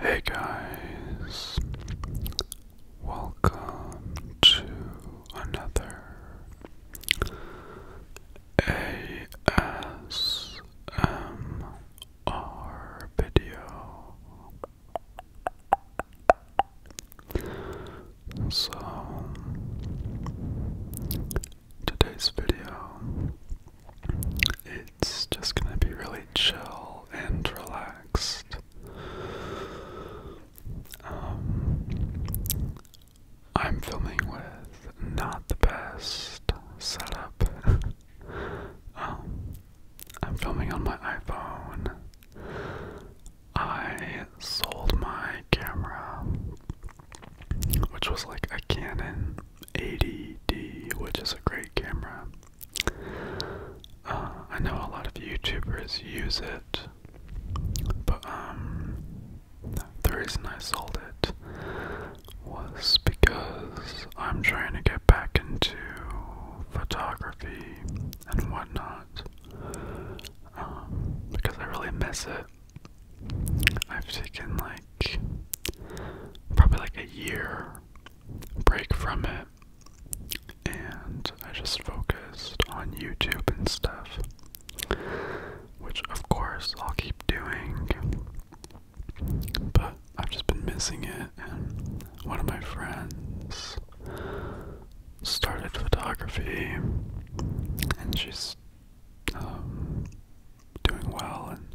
Hey guys, welcome to another ASMR video. So, today's video, it's just gonna be really chill and relaxed. Um, I'm filming with not the best setup. Um, I'm filming on my iPhone. I sold my camera, which was like a Canon 80 which is a great camera. Uh, I know a lot of YouTubers use it, but um, the reason I sold it was because I'm trying to get back into photography and whatnot because I really miss it. I've taken like probably like a year break from it, and I just focused on YouTube and stuff, which of course I'll keep doing, but I've just been missing it. And one of my friends started photography, and she's um, doing well, and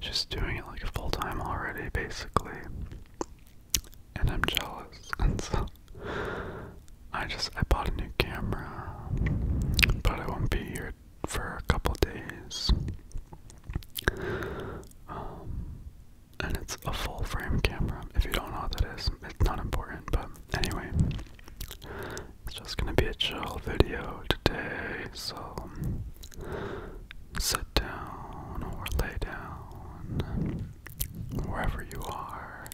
she's doing it like full time already, basically. And I'm jealous, and so I just I bought a new camera, but I won't be here for a couple days. Um, and it's a full frame camera. If you don't know what that is, it's not important. But anyway, it's just gonna be a chill video today, so sit down or lay down wherever you are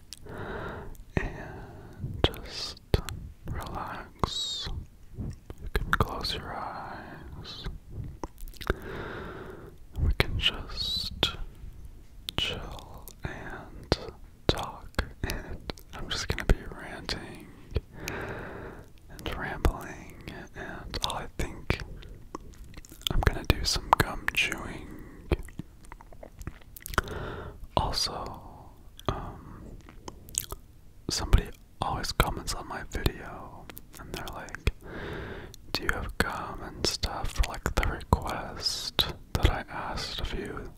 and just relax. You can close your eyes. We can just chill and talk, and I'm just gonna be ranting and rambling, and I think I'm gonna do some gum chewing. Also, um, somebody always comments on my video, and they're like, "Do you have gum and stuff for like the request?" that I asked of you.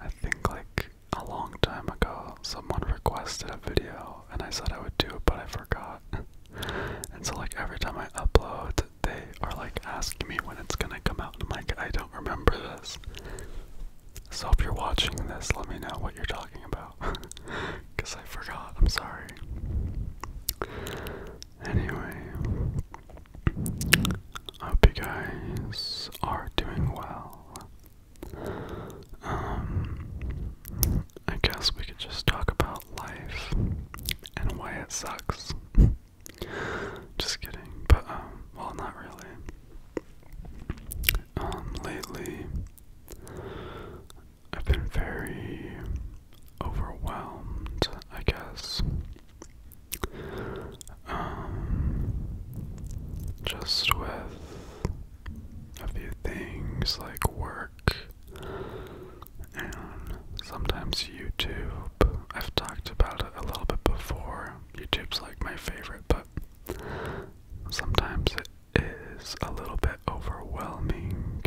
I think like a long time ago, someone requested a video and I said I would do it, but I forgot. and so, like, every time I upload, they are like asking me when it's gonna come out. And I'm like, I don't remember this. So, if you're watching this, let me know what you're talking about. Because I forgot, I'm sorry. Anyway, I hope you guys are doing well. Um, I guess we could just talk about life and why it sucks. just kidding, but um, well, not really. Um, lately, I've been very overwhelmed, I guess. Um, just with a few things like work and sometimes YouTube. I've talked about it a little bit before. YouTube's like my favorite, but sometimes it is a little bit overwhelming.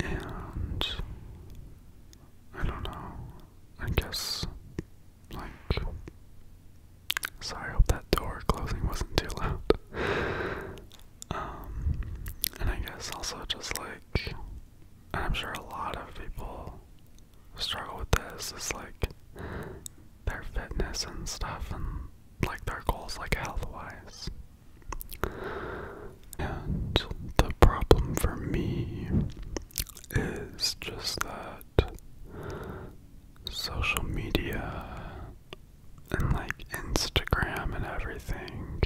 And I don't know. I guess like sorry, hope that door closing wasn't too loud. Um and I guess also just like I'm sure a lot of people struggle with this It's like their fitness and stuff and like their goals like health wise and the problem for me is just that social media and like Instagram and everything,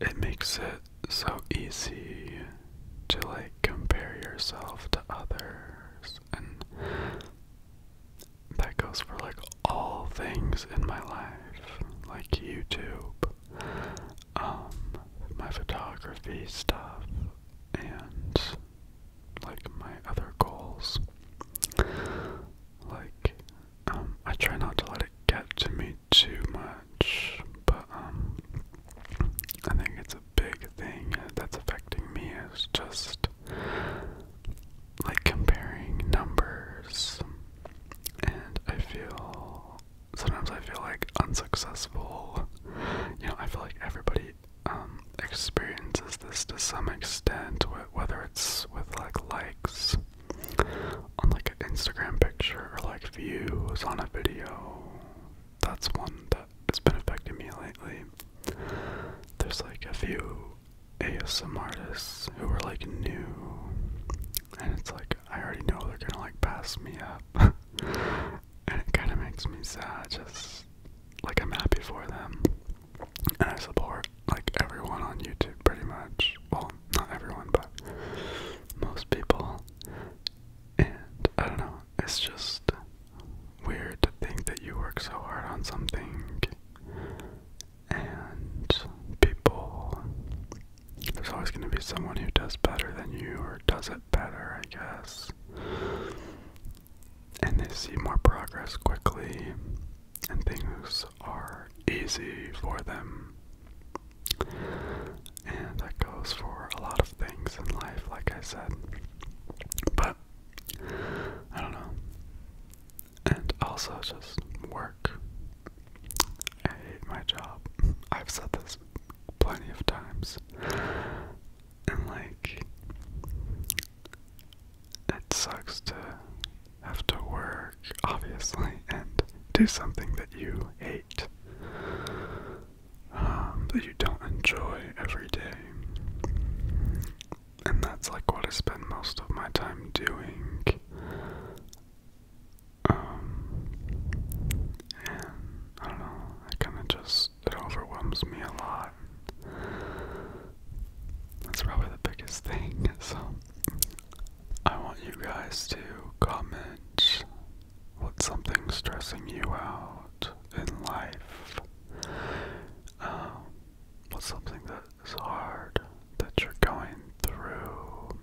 it makes it so easy to like compare yourself to others and that goes for like all things in my life, like YouTube, um, my photography stuff, and like my other goals. Like, um, I try not to let it get to me too much, but um, I think it's a big thing that's affecting me is just like comparing numbers and I feel sometimes I feel like unsuccessful. You know, I feel like everybody um, experiences this to some extent whether it's with like likes on like an Instagram picture or like views on a video. That's one that has been affecting me lately. There's like a few ASM artists who are like new, and it's like I already know they're gonna like pass me up, and it kind of makes me sad. Just like I'm happy for them, and I support like everyone on YouTube pretty much. Well, not everyone, but most people. And I don't know, it's just weird to think that you work so hard on something and people there's always going to be someone who does better than you or does it better, I guess. And they see more progress quickly, and things are easy for them. And that goes for a lot of things in life, like I said. But I don't know and also just work. I hate my job. I've said this plenty of times. And like, it sucks to have to work, obviously, and do something that you hate, um, that you don't enjoy every day. And that's like what I spend most of my time doing. Um, and I don't know, it kind of just, it overwhelms me a lot. That's probably the biggest thing, so I want you guys to comment what's something stressing you out in life. Um, what's something that it's hard that you're going through.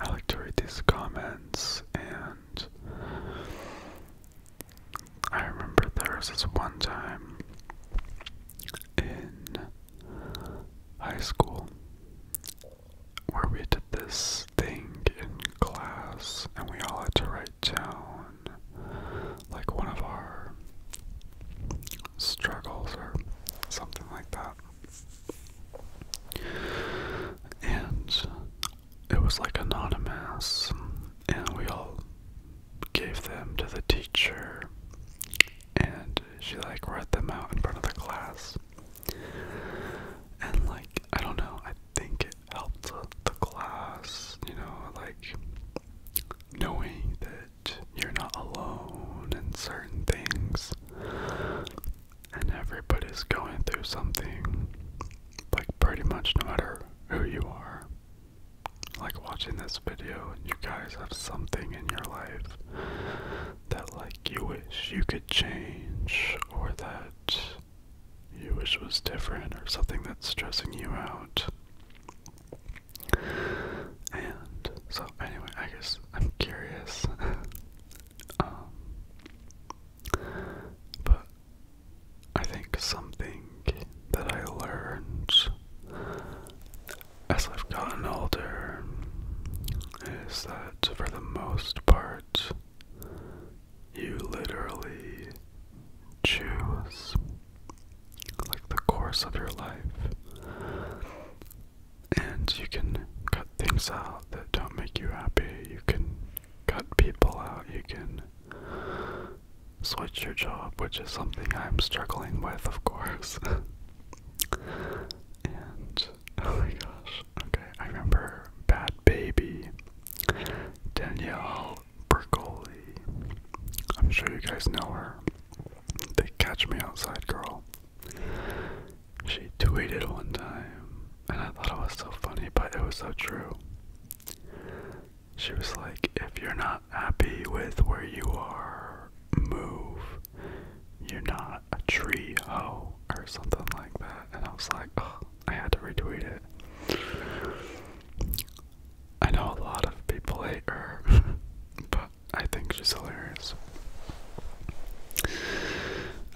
I like to read these comments, and I remember there was this one time in high school where we did this thing in class, and we all had to write down like one of our struggles or something like that. And it was like anonymous, and we all gave them to the teacher, and she like read them out in front of the class. And like, I don't know, I think it helped the class, you know, like knowing that you're not alone in certain things and everybody's going through something like pretty much no matter who you are like watching this video and you guys have something in your life that like you wish you could change or that you wish was different or something that's stressing you out and so, anyway, I guess I'm curious. Um, but I think something that I learned as I've gotten older is that for the most part, you literally choose like the course of your life. And you can cut things out that don't make you happy. You can cut people out. You can switch your job, which is something I'm struggling with, of course. and oh my gosh. Okay, I remember Bad Baby, Danielle Bercoli. I'm sure you guys know her. They catch me outside, girl. She tweeted one time, and I thought it was so funny, but it was so true. She was like, If you're not happy with where you are, move. You're not a tree oh, or something like that. And I was like, I had to retweet it. I know a lot of people hate her, but I think she's hilarious.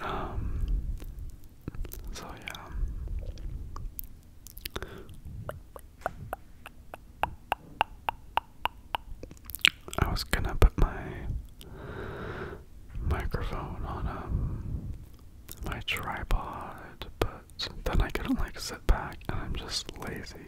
Um, so yeah. I was gonna put my microphone on um my tripod, but then I couldn't like sit back and I'm just lazy.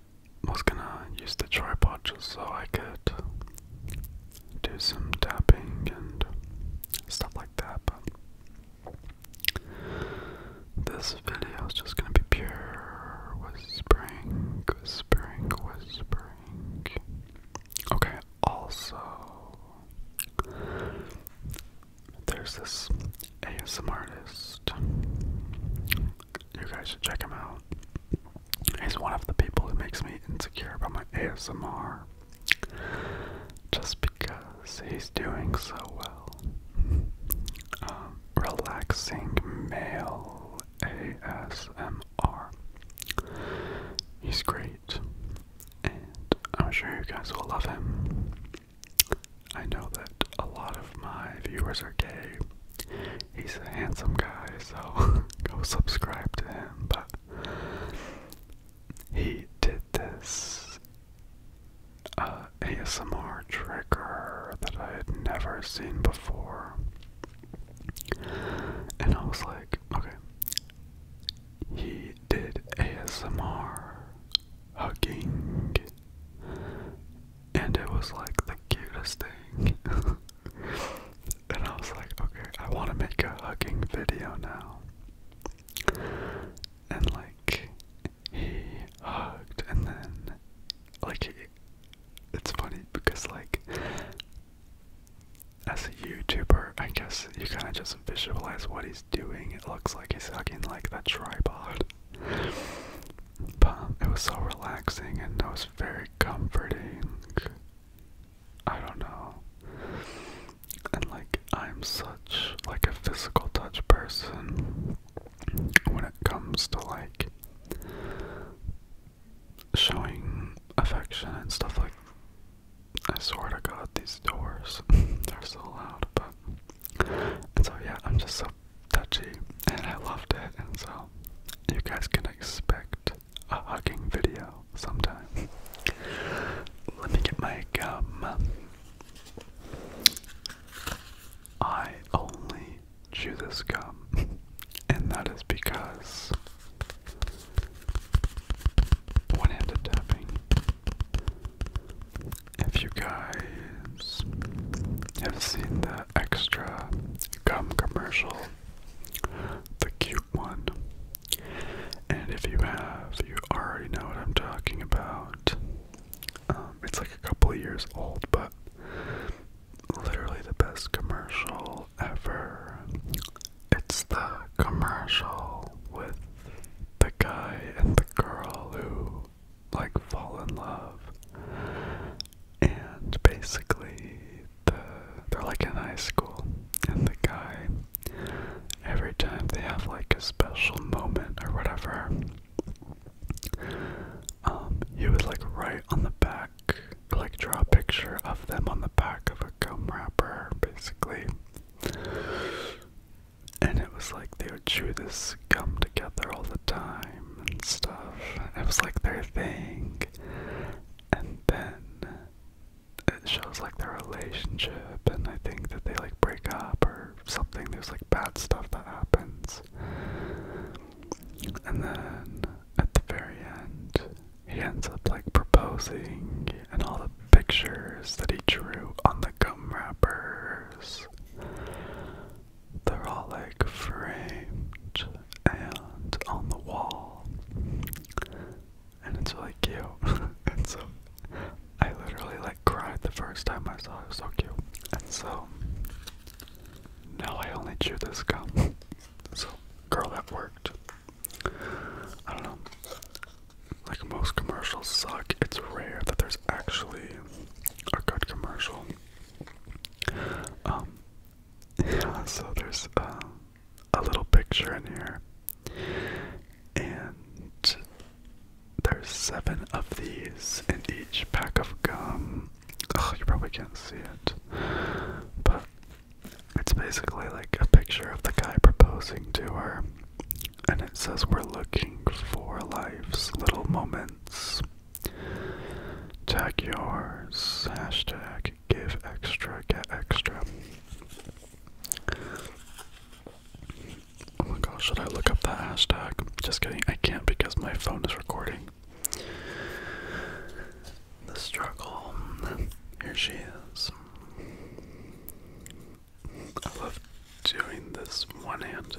was gonna use the tripod just so I could do some tapping and stuff like that, but this video is just gonna be pure whispering, whispering, whispering. Okay, also, there's this ASMR artist you guys should check him out. He's one of the people who makes me insecure about my ASMR just because he's doing so well. Um, relaxing male ASMR. He's great, and I'm sure you guys will love him. I know that a lot of my viewers are gay, he's a handsome guy, so go subscribe to him. But he did this uh, ASMR trigger that I had never seen before, and I was like, okay, he did ASMR hugging. And it was like the cutest thing. And I was like, okay, I want to make a hugging video now. And like, he hugged, and then, like, he, it's funny because, like, as a YouTuber, I guess you kind of just visualize what he's doing. It looks like he's hugging like a tripod. But it was so relaxing, and I very comforting. I don't know. And like I'm such like a physical touch person when it comes to like showing affection and stuff like I swear to god these doors they're so loud but so yeah I'm just so touchy, and I loved it. And so, you guys can expect a hugging video sometime. Let me get my gum. I only chew this gum, and that is because one handed tapping. If you guys have seen that extra gum commercial, the cute one. And if you have, you already know what I'm talking about. Um, it's like a couple years old, but literally the best commercial ever. It's the commercial with the guy and the girl who like fall in love and basically the they're like in high school and the guy every time they have like a special moment or whatever um he would like write on the back like draw a picture of them on the back of a gum wrapper basically and it was like they would chew this gum together all the time and stuff. It was like their thing. And then it shows like their relationship and I think that they like break up or something. There's like bad stuff that happens. And then at the very end he ends up like proposing and all the pictures that he drew on the gum wrappers they're all like framed and on the wall. And it's really cute. and so I literally like cried the first time I saw it. so cute. And so now I only chew this gum. so girl that worked. I don't know. Like most commercials suck. It's rare that there's actually a good commercial. Um so there's uh, a little picture in here, and there's seven of these in each pack of gum. you probably can't see it, but it's basically like a picture of the guy proposing to her, and it says, We're looking for life's little moments Tag yours. Hashtag give extra, get extra. Oh my gosh, should I look up that hashtag? Just kidding, I can't because my phone is recording. The struggle. Here she is. I love doing this one handed.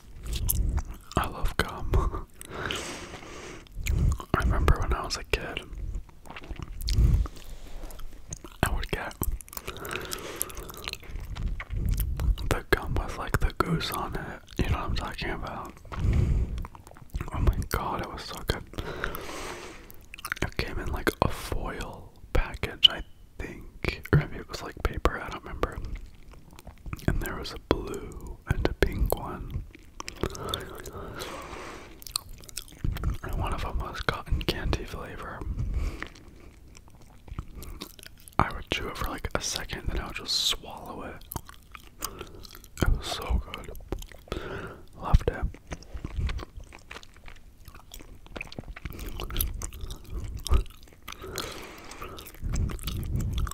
I love gum. I remember when I was a kid, I would get the gum with like the goose on it. You know what I'm talking about? Oh my god, it was so good. It came in like a foil package, I think, or maybe it was like paper, I don't remember. And there was a blue and a pink one. And one of them was cotton candy flavor. I would chew it for like a second, then I would just swallow it. It was so good. Loved it.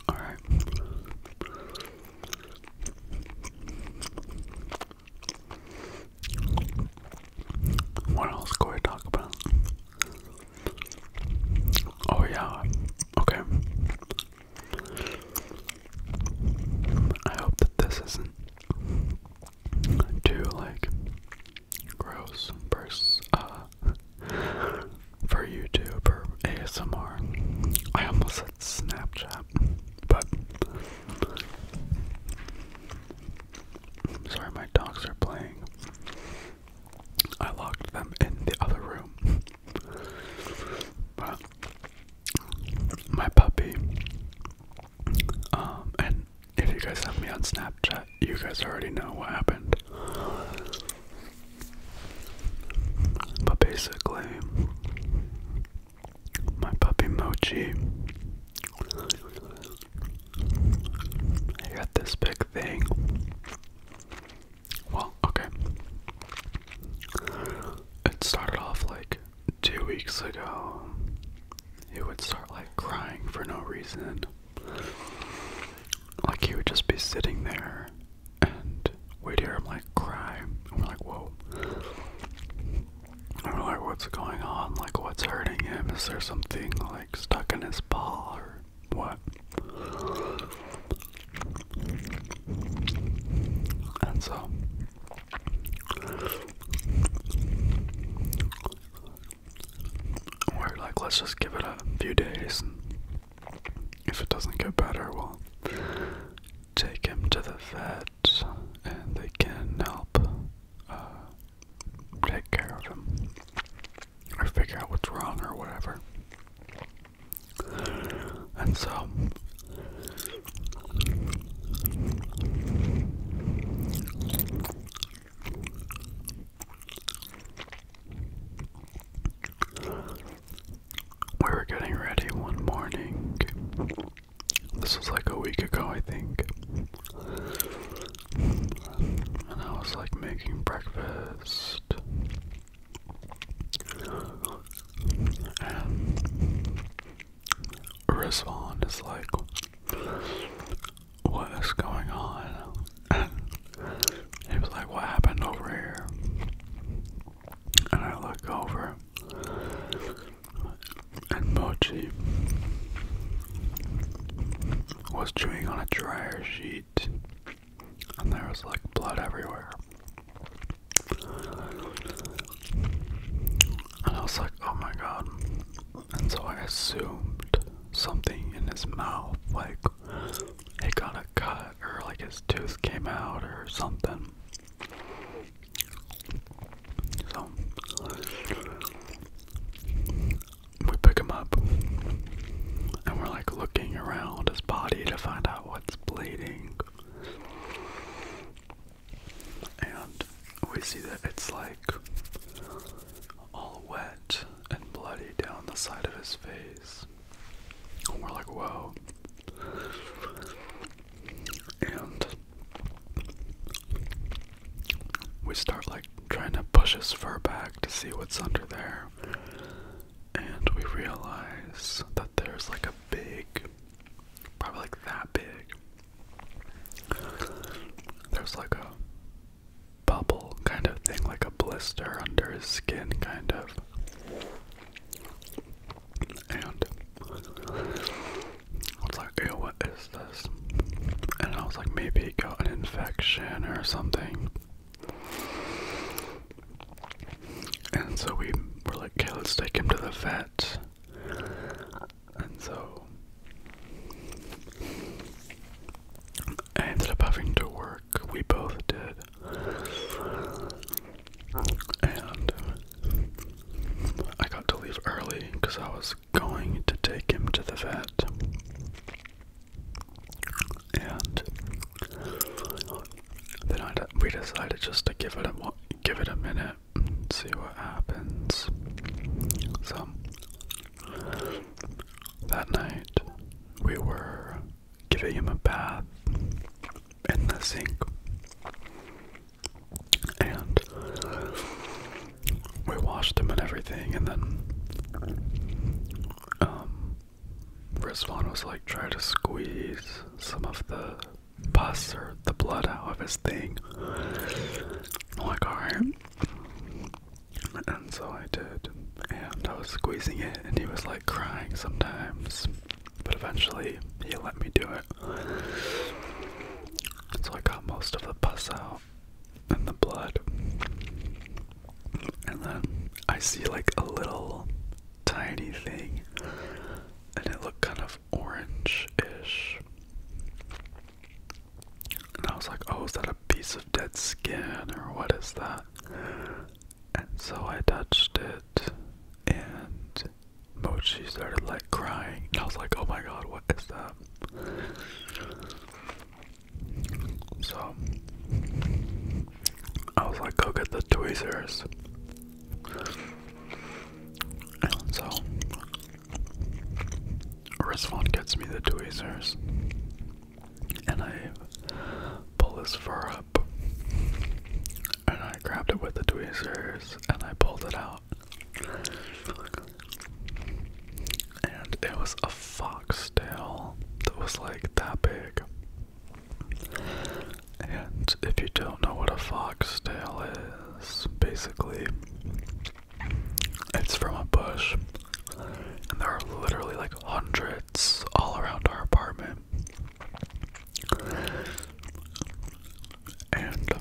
All right. What else can we talk about? Oh yeah. Okay. I hope that this isn't too like gross uh, for, YouTube or ASMR. I almost said Snapchat, but sorry, my dogs are playing. I locked them in the other room, but my puppy, um, and if you guys have me on Snapchat. You guys already know what happened. But basically, my puppy Mochi I got this big thing. Well, okay. It started off like two weeks ago. He would start like crying for no reason. Like he would just be sitting there and we'd hear him like cry. And we're like, whoa. we're like, what's going on? Like, what's hurting him? Is there something like stuck in his paw or what? And so or like let's just give it a few days and if it doesn't get better we'll take him to the vet and they can help uh, take care of him or figure out what's wrong or whatever. And so we were getting ready one morning. This was like a week ago, I think. And I was like making breakfast. And Rizwan is like, what is going on? he was like, What happened over here? And I look over, and Mochi was chewing on a dryer sheet, and there was like blood everywhere. And I was like, Oh my god, and so I assumed something in his mouth, like he got a cut or like his tooth came out or something. So we pick him up and we're like looking around his body to find out what's bleeding. And we see that it's like all wet and bloody down the side of his face. And we're like, whoa. And we start like trying to push his fur back to see what's under there. And we realize that there's like a big, probably like that big. There's like a bubble kind of thing, like a blister under his skin, kind of. And I was like, ew, what is this? And I was like, maybe got an infection or something. And so we were like, okay, let's take him to the vet. And so I ended up having to work. We both did. And uh, I got to leave early because I was going to take him to the vet. And then I, we decided just to give it a give it a minute and see what happens. So that night, we were giving him a bath in the sink. And we washed him and everything, and then um, Rizwan was like trying to squeeze some of the pus or the blood out of his thing. I'm like, and so I did, and I was squeezing it, and he was like crying sometimes. But eventually, he let me do it. So I got most of the pus out and the blood. And then I see like a little tiny thing, and it looked kind of orange ish. And I was like, oh, is that a piece of dead skin or what is that? And so I touched it and Mochi started like crying. And I was like, oh my god, what is that? So I was like, go get the tweezers. so Rizwan gets me the tweezers, and I pull this fur up, and I grabbed it with the tweezers, and I pulled it out, and it was a fox tail that was like that big. And if you don't know what a fox tail is, basically it's from a bush, and there are literally like hundreds all around our apartment. And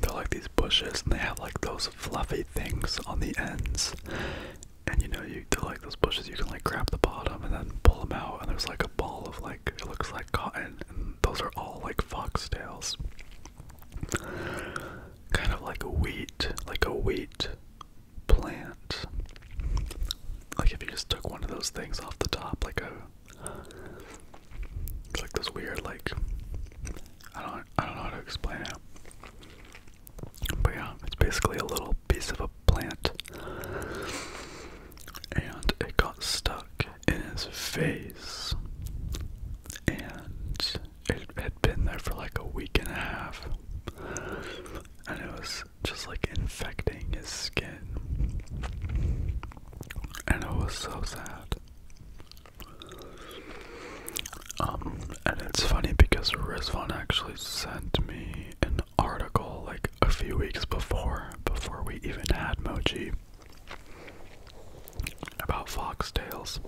they're like these bushes, and they have like those fluffy things on the ends. And you know, you do like those bushes, you can like grab the bottom and then pull them out, and there's like a ball of like it looks like cotton, and those are all like foxtails kind of like a wheat, like a wheat plant. Like if you just took one of those things off the top, like a, like this weird like, I don't, I don't know how to explain it. But yeah, it's basically a little piece of a plant, and it got stuck in his face, and it had been there for like a week and a half, and it was just like infecting his skin, and it was so sad. Um, and it's funny because Rizvan actually sent me an article like a few weeks before, before we even had Mochi about foxtails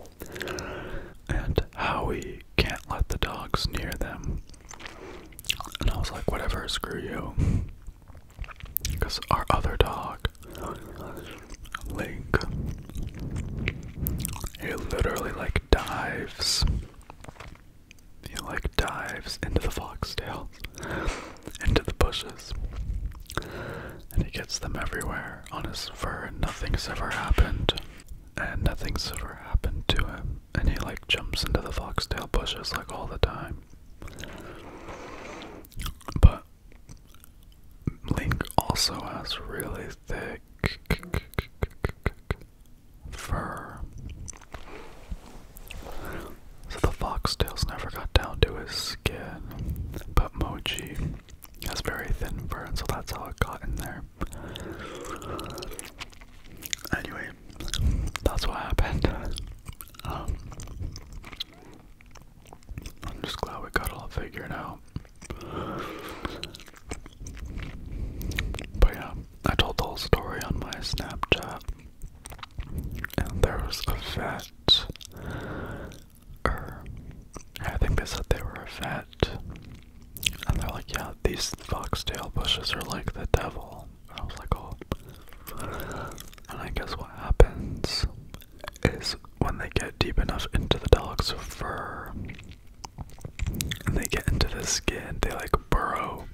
and how we can't let the dogs near them. And I was like, whatever, screw you. Because our other dog, Link, he literally like dives. He like dives into the foxtails, into the bushes. And he gets them everywhere on his fur, and nothing's ever happened. And nothing's ever happened to him. And he, like, jumps into the foxtail bushes, like, all the time. But Link also has really thick fur. So the foxtails never got down to his skin. But Mochi it very thin fur, so that's how it got in there. Anyway, that's what happened. Um, I'm just glad we got all figured out. But yeah, I told the whole story on my Snapchat, and there was a vet er. I think they said they were a vet. And they're like, yeah, these foxtail bushes are like the devil. And I was like, oh. And I guess what happens is when they get deep enough into the dog's fur and they get into the skin, they like burrow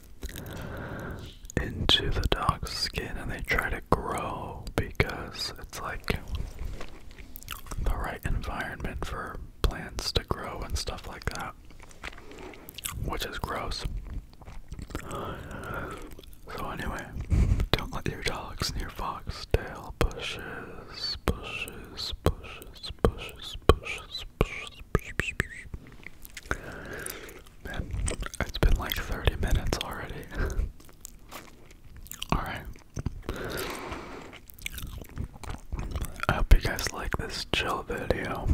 into the dog's skin and they try to to grow because it's like the right environment for plants to grow and stuff like that, which is gross. So, anyway, don't let your dogs near foxtail bushes, bushes, bushes, bushes, bushes, bushes, bushes, bushes. Man, it's been like 30 minutes already. Alright. I hope you guys like this chill video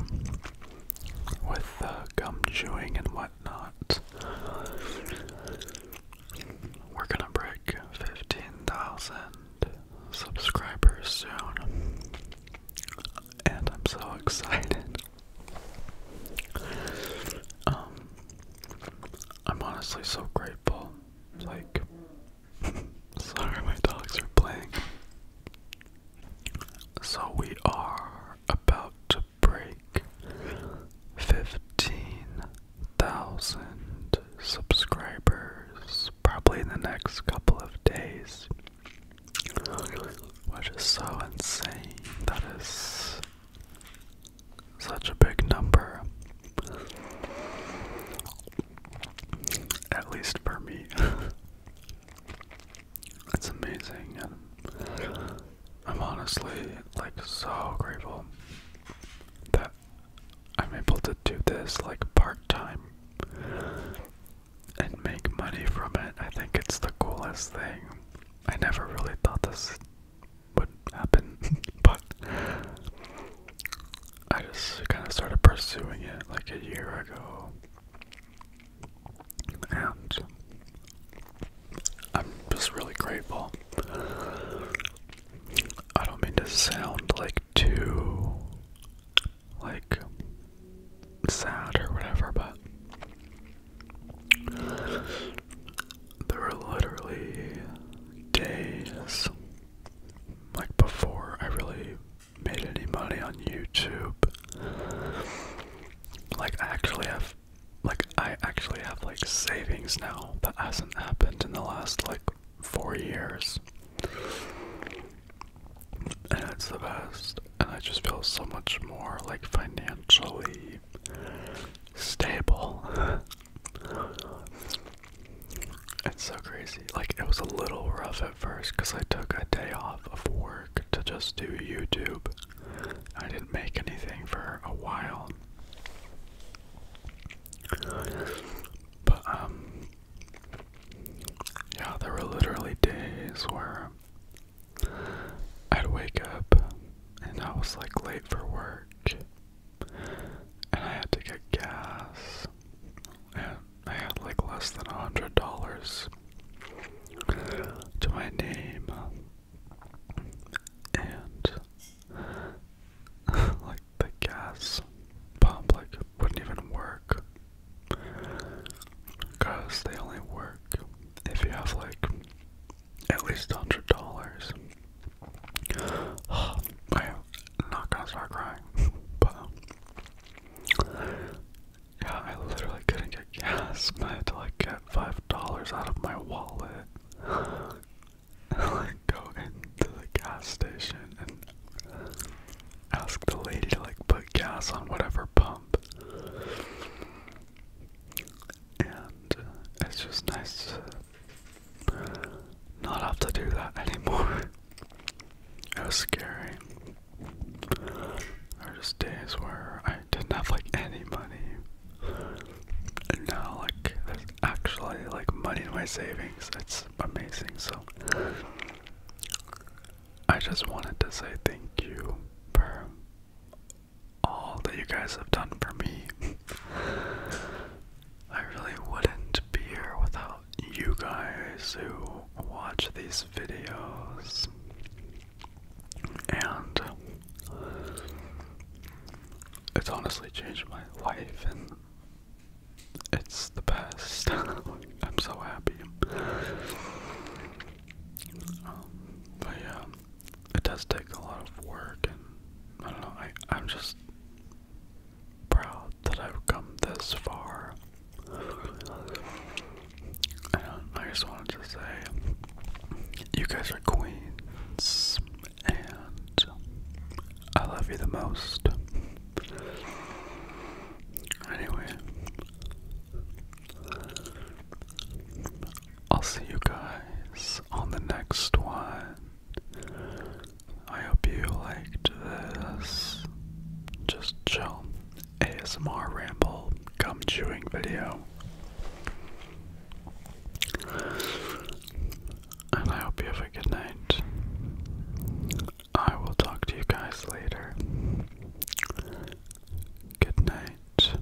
with uh, gum chewing and whatnot. We're gonna break 15,000 subscribers soon, and I'm so excited. Um, I'm honestly so grateful. Like, sorry, my dogs are playing. So, we are about to break 15,000 subscribers probably in the next couple of days, which is so insane. That is such a big number. At least for me. it's amazing, and I'm honestly like so grateful that I'm able to do this like part time and make money from it. I think it's the coolest thing. I never really thought this what happened, but I just kind of started pursuing it like a year ago. And I'm just really grateful. I don't mean to sound like too like sad or whatever, but there were literally days like before I really made any money on YouTube. Like I actually have like I actually have like savings now that hasn't happened in the last like four years. And it's the best. And I just feel so much more like financially stable. it's so crazy. Like, it was a little rough at first because I took a day off of work to just do YouTube. I didn't make anything for a while. But, um, yeah, there were literally days where I'd wake up and I was like late for work and I had to get gas and I had like less than a hundred dollars to my name and like the gas pump like wouldn't even work because they only work if you have like at least hundred dollars. I'm not gonna start crying, but yeah, I literally couldn't get gas. I had to like get five dollars out of my wallet and go into the gas station and ask the lady to like put gas on whatever pump and uh, it's just nice to not have to do that anymore. it was scary. There were just days where I didn't have like any money, and now like there's actually like money in my savings. It's amazing. So I just wanted to say thank you for all that you guys have done for me. I really wouldn't be here without you guys who watch these videos. And it's honestly changed my life, and it's the best. I'm so happy. Um, but yeah, it does take a lot of work, and I don't know. I I'm just proud that I've come this far. I I just wanted to say, you guys are queens, and I love you the most. Anyway, I'll see you guys on the next one. I hope you liked this just chill ASMR ramble gum chewing video. And I hope you have a good night. I will talk to you guys later. Good night.